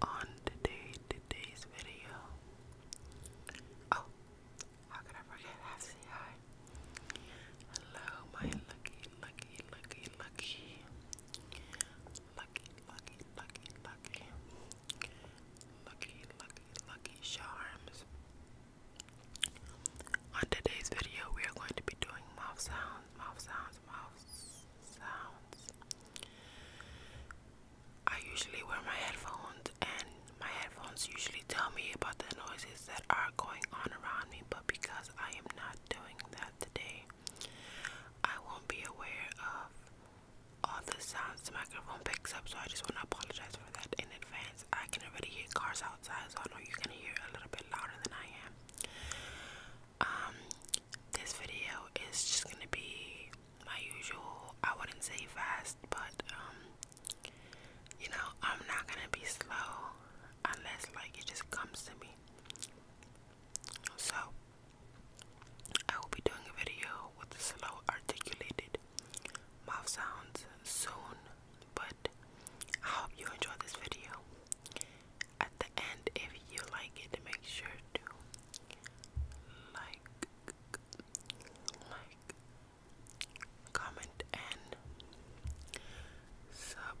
On today, today's video. Oh, how could I forget? I Hello, my lucky, lucky, lucky, lucky, lucky, lucky, lucky, lucky charms. On today's video, we are going to be doing mouth sounds, mouth sounds, mouth sounds. I usually wear my headphones, and my headphones usually tell me about the noises that are going on around me, but because I am not doing that today, I won't be aware of all the sounds the microphone picks up, so I just want to apologize for that in advance. I can already hear cars outside, so I know you're gonna hear a little bit louder than I am. Um, this video is just gonna be my usual, I wouldn't say fast, but um, you know, I'm not gonna be slow unless like it just comes to me. So, I will be doing a video with slow articulated mouth sounds soon, but I hope you enjoy this video at the end if you like it make sure to like like comment and subscribe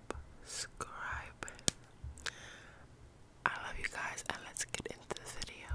I love you guys and let's get into the video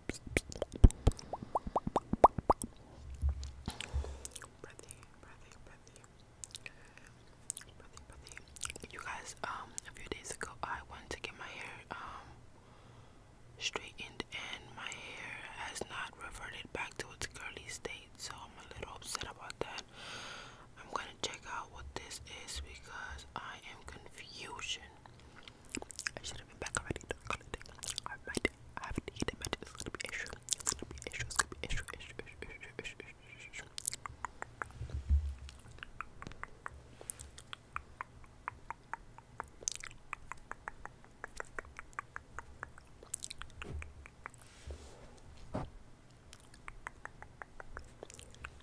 breathy, breathy, breathy. You guys, um, a few days ago, I wanted to get my hair, um, straightened, and my hair has not reverted back to its curly state, so I'm a little upset about that. I'm gonna check out what this is because I am confusion. I should have been back already. Don't call it. I might I haven't eaten much. It's gonna be issue. It's gonna be issue. It's gonna be issue.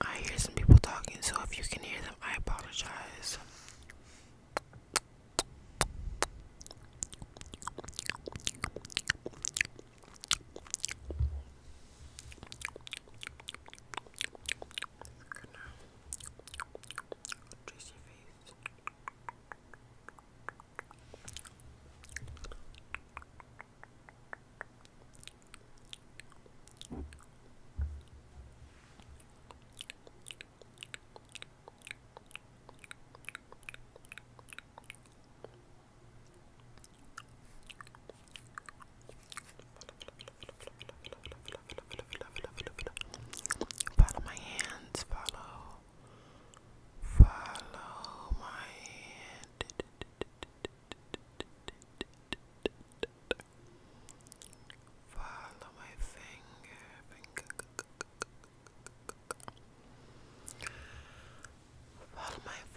I hear some people talking, so if you can hear them, I apologize. Juicy face. Fluff, fluff, fluff, fluff, fluff, fluff, follow, follow, follow, follow, follow, follow. Follow my hands, follow. Follow my hand. Follow my finger, finger. Follow my finger.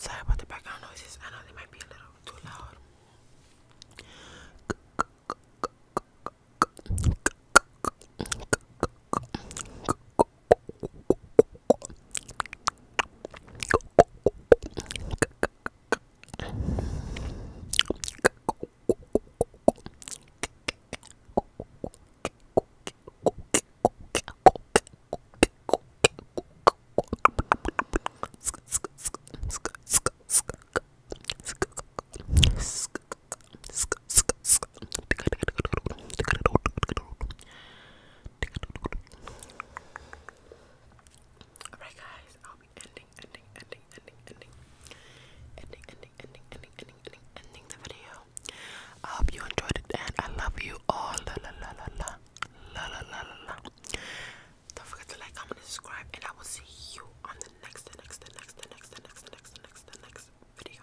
Sorry about the background noises. I know they might be a little too loud. Alright guys, I'll be ending, ending, ending, ending, ending, ending, ending, ending, ending, ending, ending, the video. I hope you enjoyed it, and I love you all. La la la la la la la la la. Don't forget to like, comment, and subscribe, and I will see you on the next, the next, the next, the next, the next, the next, the next, the next video.